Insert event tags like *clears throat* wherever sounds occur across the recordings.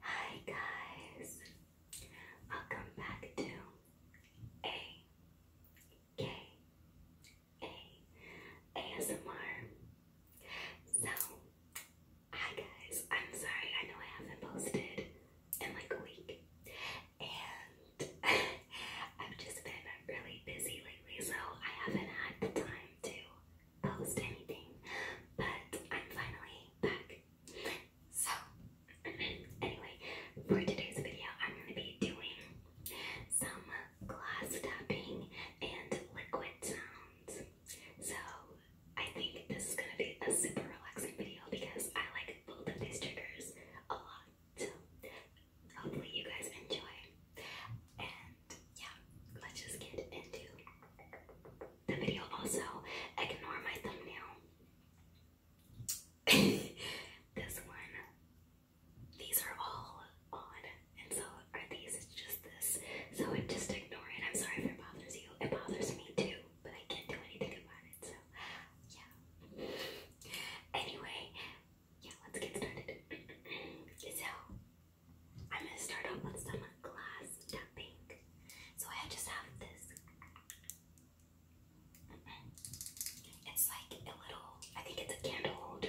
Hi guys, welcome back to A K A ASMR. So, hi guys, I'm sorry. I know I haven't posted in like a week, and *laughs* I've just been really busy lately, so I haven't had the time to post anything. But I'm finally back so, anyway, for today's video, I'm going to be doing some glass tapping and liquid sounds. So, I think this is going to be a super relaxing video because I like both of these triggers a lot. So, hopefully, you guys enjoy. And yeah, let's just get into the video also. Ignore my thumbnail. *laughs* this one. These are all odd. And so are these. It's just this. So just ignore it. I'm sorry if it bothers you. It bothers me too. But I can't do anything about it. So yeah. Anyway, yeah, let's get started. so *clears throat* I'm gonna start off with some glass tapping. So I just have this. It's like a little, I think it's a candle holder.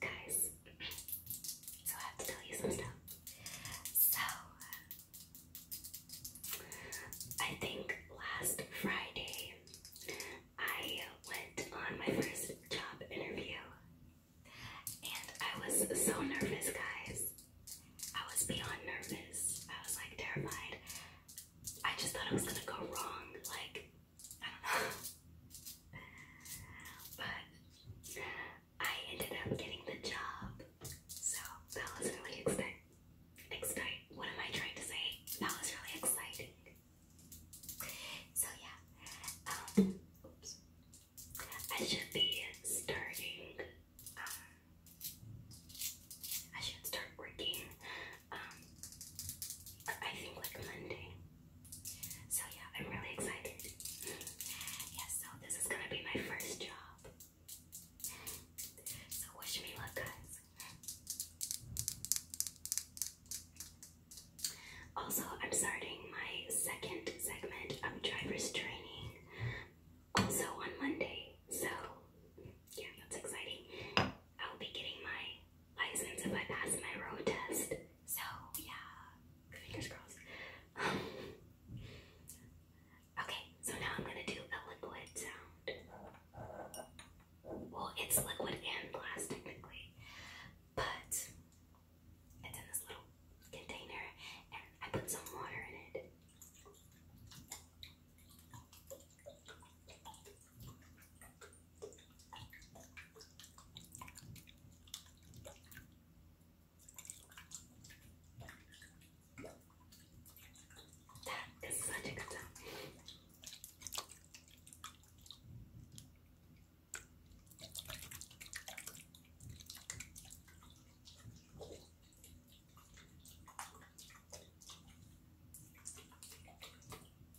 Guys, so I have to tell you some stuff. So, I think last Friday I went on my first job interview and I was so nervous, guys. I was beyond nervous. I was like terrified. I just thought it was gonna go wrong. Like, I don't know. but I ended up getting the job. So that was really exciting. Exciting. What am I trying to say? That was really exciting. So yeah. Um oops. I should be starting um, I should start working um, I think like Monday. So yeah, I'm really excited. Yeah, so this is gonna be my first job. So wish me luck, guys. Also, I'm starting my second segment of driver's training also on Monday. So, yeah, that's exciting. I'll be getting my license if I pass my road test. So yeah, fingers crossed. *laughs* okay, so now I'm gonna do a liquid sound. Well, it's liquid and glass but it's in this little container, and I put some water in it. That is such a good sound.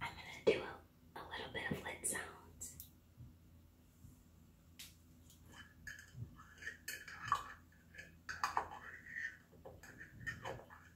I'm going to do a, little bit of lid sounds.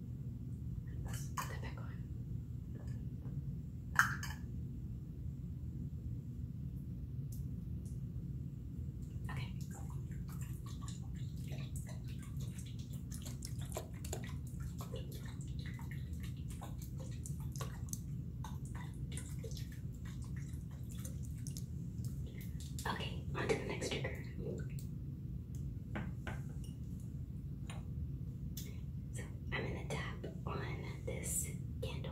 the big Okay. Okay, on to the next trigger. So I'm going to tap on this candle.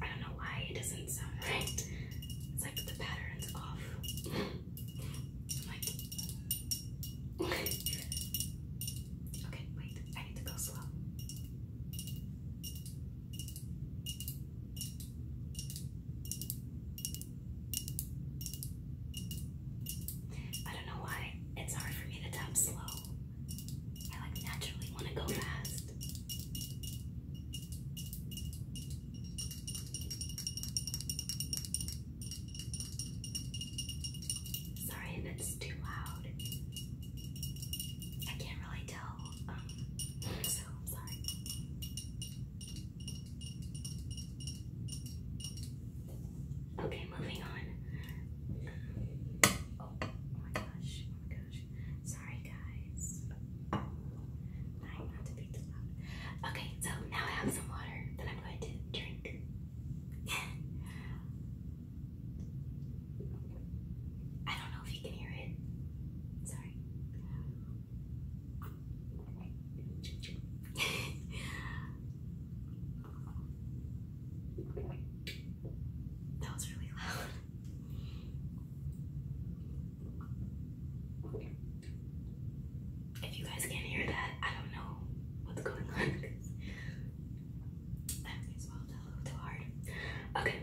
I don't know why it doesn't sound right. It's like the pattern's off. okay, wait, I need to go slow. I don't know why it's hard for me to tap slow. I like naturally want to go fast. Sorry, that's too loud. I can't really tell. Um, *laughs* so sorry. Okay, moving on. Oh, oh my gosh, oh my gosh. Sorry, guys. Trying not to be too loud. Okay, so now I have some water that I'm going to drink. I don't know if you can hear it. Sorry. *laughs* that was really loud. If you guys can't hear that, I don't know what's going on. I *laughs* may swallowed a little too hard. Okay.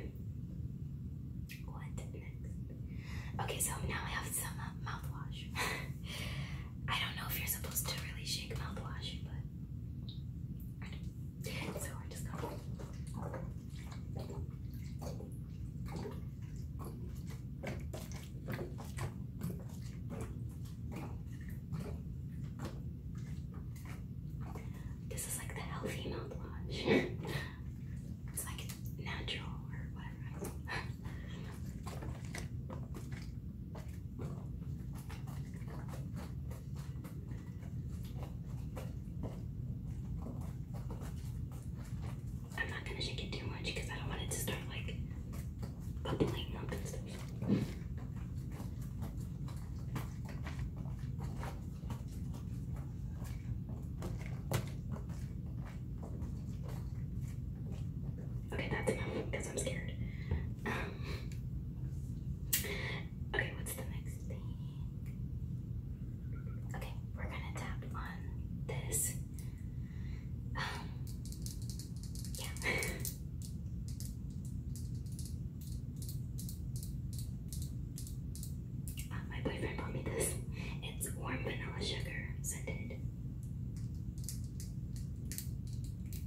What next? Okay, so now I have some uh, mouthwash. *laughs* I don't know if you're supposed to really shake mouthwash, but this is like the healthy mouthwash. *laughs* it's like natural or whatever. *laughs* I'm not gonna shake it too much because I don't want it to start like bubbling up and stuff. Okay, that's enough because I'm scared. Um, Okay, what's the next thing? Okay, we're gonna tap on this. Um, yeah. Uh, my boyfriend bought me this. It's warm vanilla sugar scented.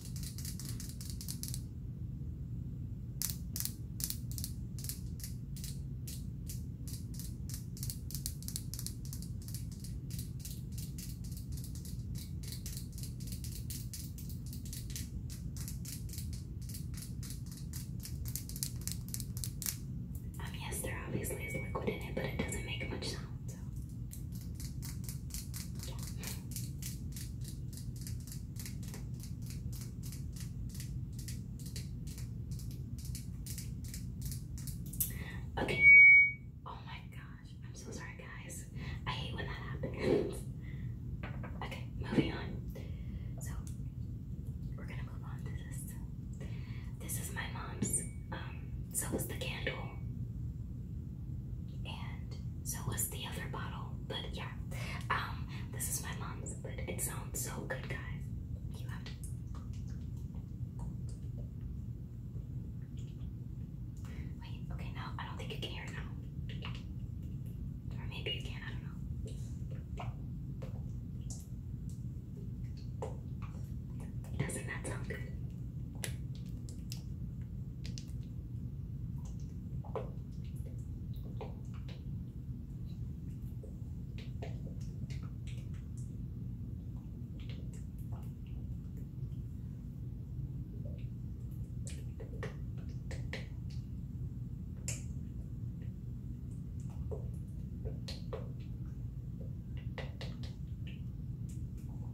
Um, yes, there obviously is liquid in it, but it doesn't make much sound. Okay. Oh my gosh. I'm so sorry, guys. I hate when that happens. Okay, moving on. So, we're gonna move on to this. This is my mom's um, so was the candle. And so was the other bottle. But yeah, um, this is my mom's, but it sounds so good, guys. You have to. Wait, okay, no, I don't think you can hear it now. Or maybe you can, I don't know. Doesn't that sound good?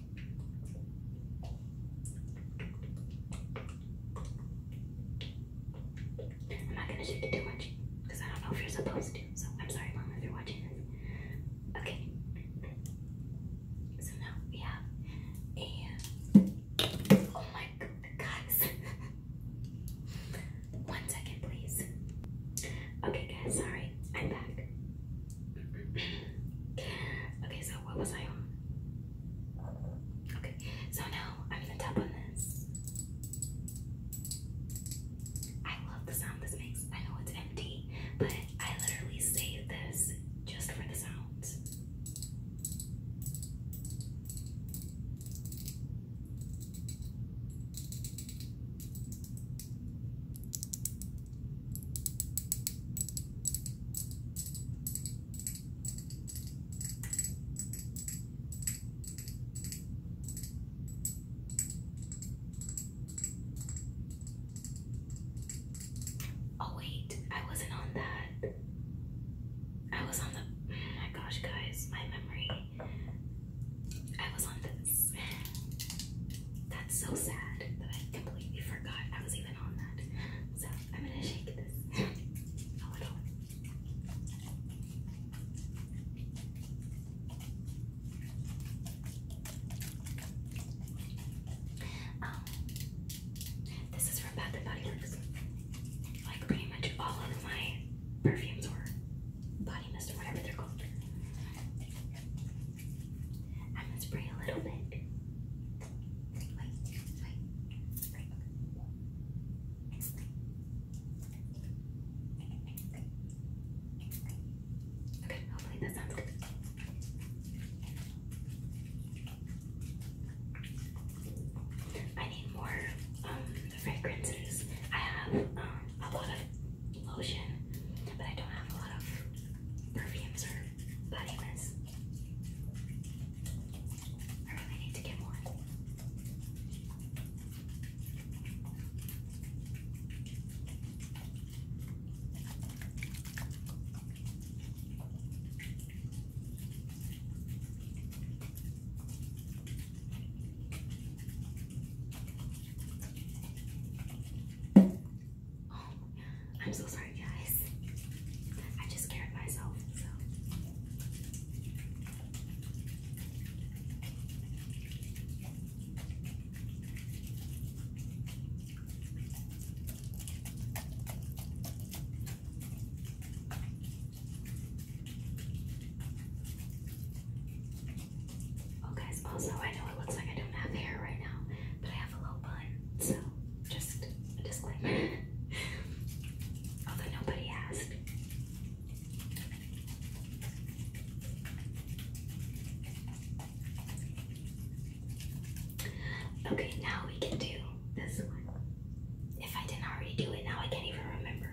I'm not gonna shake it too much because I don't know if you're supposed to. So I'm sorry, mom, if you're watching Okay. So now we have a. Oh my guys! *laughs* One second, please. Okay, guys. Sorry, I'm back okay, so what was I on? Okay, so now I'm gonna tap on this. I love the sound this makes. I know it's empty, but I literally save this just for the sound. Oh wait, I wasn't on that. I was on the oh my gosh guys, my memory. I was on the that's so sad that I completely forgot I was even on that. So I'm gonna shake this a oh, um, this is from Bath and Body Works. Like pretty much all of my perfumes were body mist or whatever they're called. I'm gonna spray a little bit. Wait, wait, wait. Okay, hopefully that sounds good. I need more um, fragrances. I have um, a lot of lotion, but I don't have a lot of perfumes or body mist. I need to get more. Oh, I'm so sorry, guys. I just scared myself, Oh guys, also I know it looks like I don't have hair right now, but I have a low bun, so just a disclaimer. *laughs* Although nobody asked. Okay, now we can do this one. If I didn't already do it, now I can't even remember.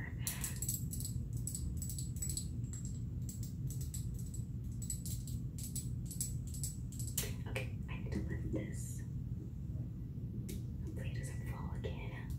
Okay, I need to lift this. Hopefully it doesn't fall again. Okay,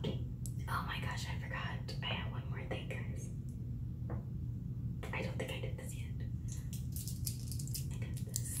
Okay. Oh my gosh, I forgot. I have one more thing, guys. I don't think I did this yet. I did this.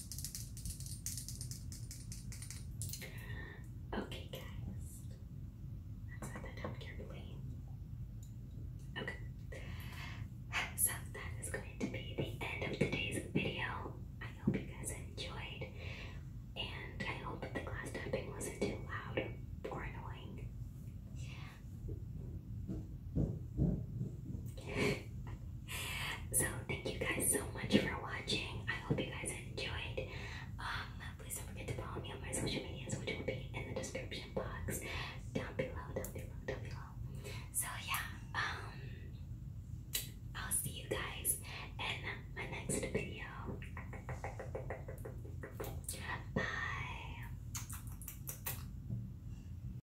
Okay, guys. Let's set that down carefully. Okay. So that is going to be the end of today's video. I hope you guys enjoyed. And I hope that the glass tapping wasn't too loud or annoying. *laughs* so thank you guys so much for watching. I hope you guys enjoyed. Um, please don't forget to follow me on my social medias, which will be in the description box down below, down below, down below. So yeah, um, I'll see you guys in my next video. Bye.